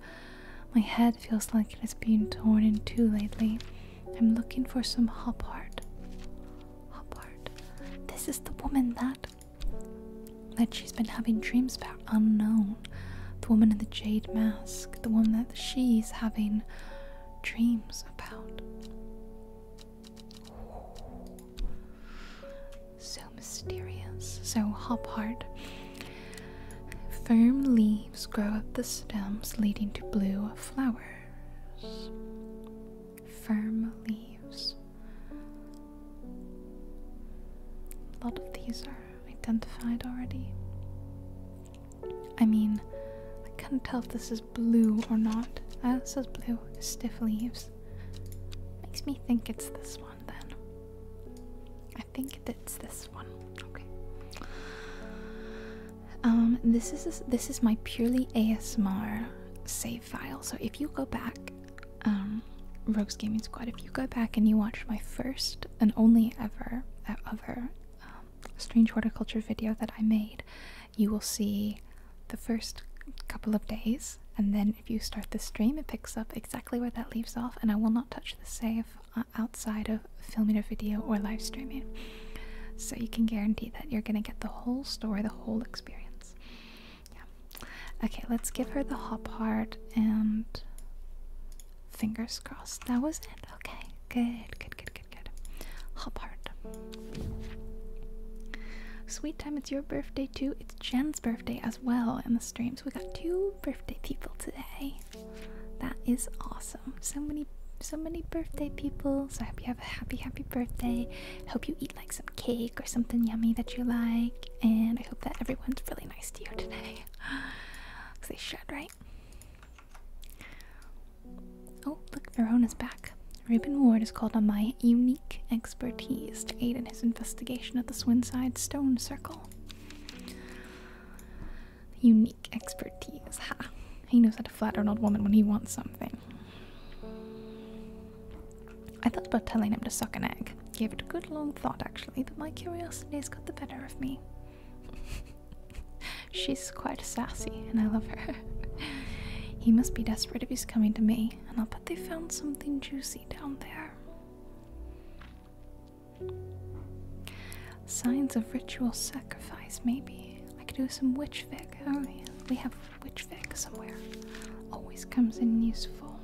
My head feels like it is being torn in two lately. I'm looking for some hop art. Hop art. This is the woman that that she's been having dreams about unknown. The woman in the jade mask. The woman that she's having dreams about. So mysterious. So hop heart. Firm leaves grow up the stems, leading to blue flowers firm leaves. A lot of these are identified already. I mean, I can't tell if this is blue or not. Uh, it says blue, stiff leaves. Makes me think it's this one then. I think it's this one. Okay. Um, this is this is my purely ASMR save file. So if you go back, um, Rogues Gaming Squad, if you go back and you watch my first and only ever other um, strange horticulture video that I made, you will see the first couple of days, and then if you start the stream, it picks up exactly where that leaves off. And I will not touch the save uh, outside of of filming a video or live streaming. So you can guarantee that you're gonna get the whole story, the whole experience. Yeah. Okay, let's give her the hop heart and fingers crossed. That was it. Okay. Good, good, good, good, good. Hop heart. Sweet time, it's your birthday too. It's Jen's birthday as well in the streams. We got two birthday people today. That is awesome. So many so many birthday people. So I hope you have a happy, happy birthday. hope you eat like some cake or something yummy that you like. And I hope that everyone's really nice to you today. Because [gasps] they should, right? Oh, look, Verona's back. Reuben Ward is called on my unique expertise to aid in his investigation of the Swinside Stone Circle. Unique expertise. Ha! He knows how to flatter an old woman when he wants something. I thought about telling him to suck an egg. Gave it a good long thought, actually, but my curiosity has got the better of me. [laughs] She's quite sassy, and I love her. [laughs] he must be desperate if he's coming to me, and I'll bet they found something juicy down there. Signs of ritual sacrifice, maybe. I could do some witch fic. Oh, yeah. We have witch fic somewhere. Always comes in useful.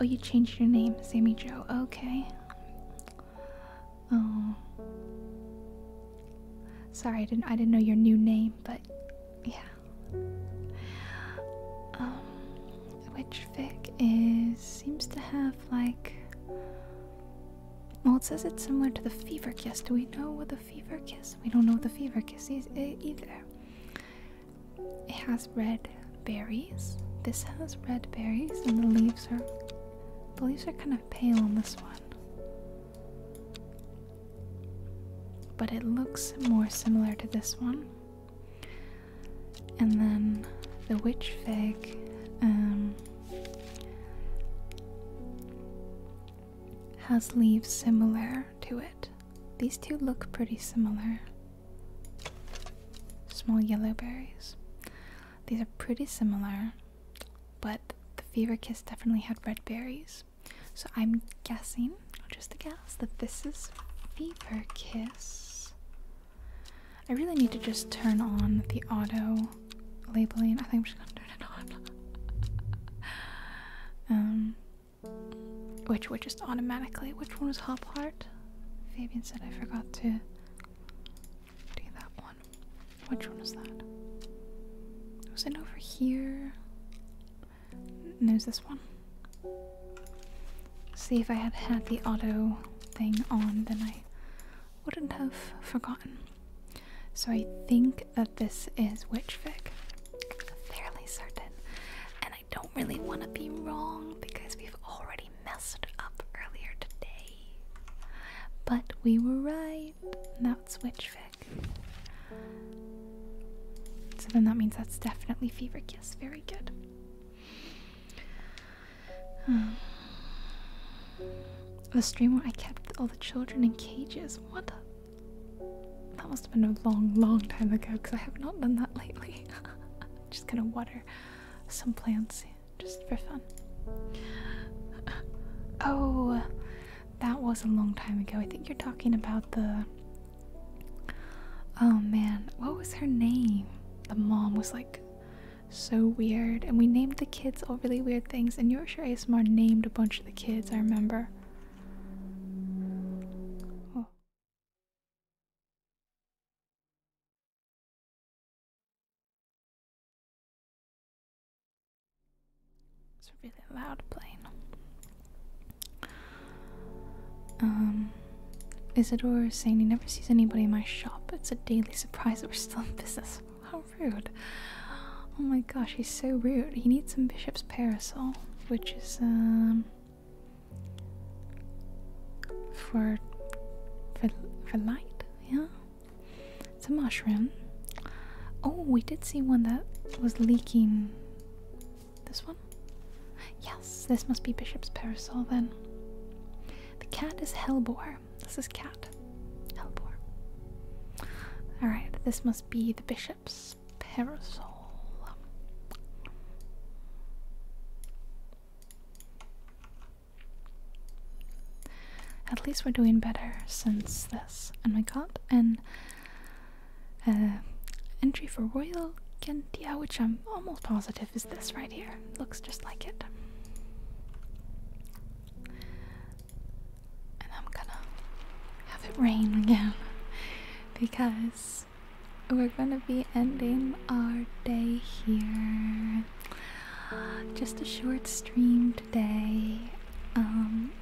Oh, you changed your name, Sammy Joe. Okay. Oh. Sorry, I didn't. I didn't know your new name, but yeah. Um, witch fic is seems to have like well, it says it's similar to the fever kiss. Do we know what the fever kiss? We don't know what the fever kiss is either. It has red berries. This has red berries, and the leaves are the leaves are kind of pale on this one. But it looks more similar to this one. And then the witch fig, um, has leaves similar to it. These two look pretty similar. Small yellow berries. These are pretty similar, but the Fever Kiss definitely had red berries. So I'm guessing, just a guess, that this is Fever Kiss. I really need to just turn on the auto labeling. I think I'm just gonna turn it on. [laughs] um, which would just automatically. Which one was Hop Heart? Fabian said I forgot to do that one. Which one is that? Was it over here? And there's this one. See if I had had the auto thing on, then I wouldn't have forgotten. So I think that this is Witchfic. Fairly certain. And I don't really want to be wrong because we've already messed up earlier today. But we were right. That's Witchfic. So then that means that's definitely Fever Yes, Very good. Um, the stream where I kept all the children in cages. What? That must have been a long, long time ago because I have not done that lately. [laughs] Just gonna water some plants just for fun. Oh, that was a long time ago. I think you're talking about the. Oh man, what was her name? The mom was like so weird. And we named the kids all really weird things. And Yorkshire ASMR named a bunch of the kids, I remember. Oh. It's a really loud plane. Um, Isidore is saying he never sees anybody in my shop. It's a daily surprise that we're still in business rude. Oh my gosh, he's so rude. He needs some bishop's parasol, which is um for for for light, yeah. It's a mushroom. Oh, we did see one that was leaking. This one? Yes, this must be Bishop's Parasol then. The cat is Hellbore. This is Cat. Hellbore. Alright, this must be the bishop's parasol. At least we're doing better since this. And my got an uh, entry for Royal Gandia, which I'm almost positive is this right here. Looks just like it and I'm gonna have it rain again because we're gonna be ending our day here. Just a short stream today. Um,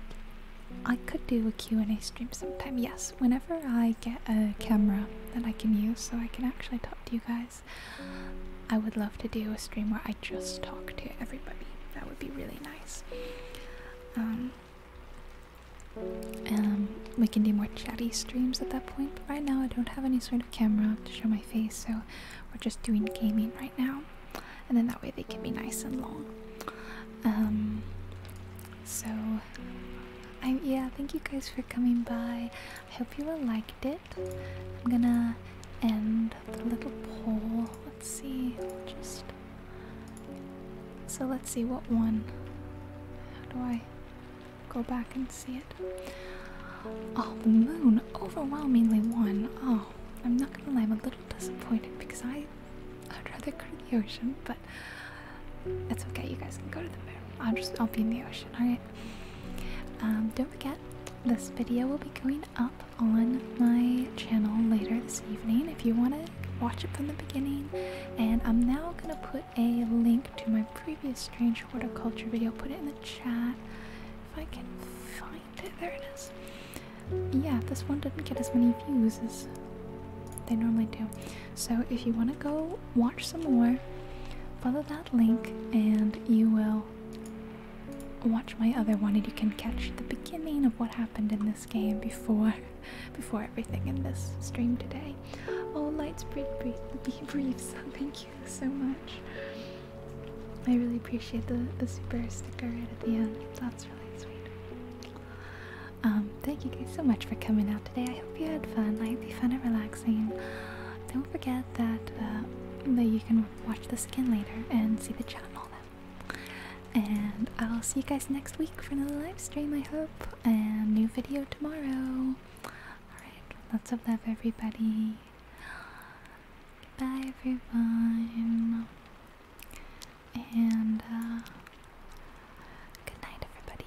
I could do a Q&A stream sometime. Yes, whenever I get a camera that I can use so I can actually talk to you guys. I would love to do a stream where I just talk to everybody. That would be really nice. Um, um, we can do more chatty streams at that point, but right now I don't have any sort of camera to show my face, so we're just doing gaming right now. And then that way they can be nice and long. Um, so, I, yeah, thank you guys for coming by. I hope you all liked it. I'm gonna end the little pole. Let's see. Just so let's see what one. How do I go back and see it? Oh, the moon overwhelmingly won. Oh, I'm not gonna lie, I'm a little disappointed because I would rather go to the ocean, but it's okay. You guys can go to the moon. I'll just I'll be in the ocean. All right. Um, don't forget, this video will be going up on my channel later this evening if you want to watch it from the beginning. And I'm now going to put a link to my previous strange horticulture video, put it in the chat if I can find it. There it is. Yeah, this one didn't get as many views as they normally do. So if you want to go watch some more, follow that link and you will watch my other one and you can catch the beginning of what happened in this game before [laughs] before everything in this stream today. Oh lights brief brief briefs. Thank you so much. I really appreciate the, the super sticker right at the end. That's really sweet. Um, thank you guys so much for coming out today. I hope you had fun. I hope you found it relaxing. Don't forget that uh, that you can watch this again later and see the chat and all that. And I'll see you guys next week for another live stream, I hope, and new video tomorrow. Alright, lots of love, everybody. Bye, everyone. And, uh, good night, everybody.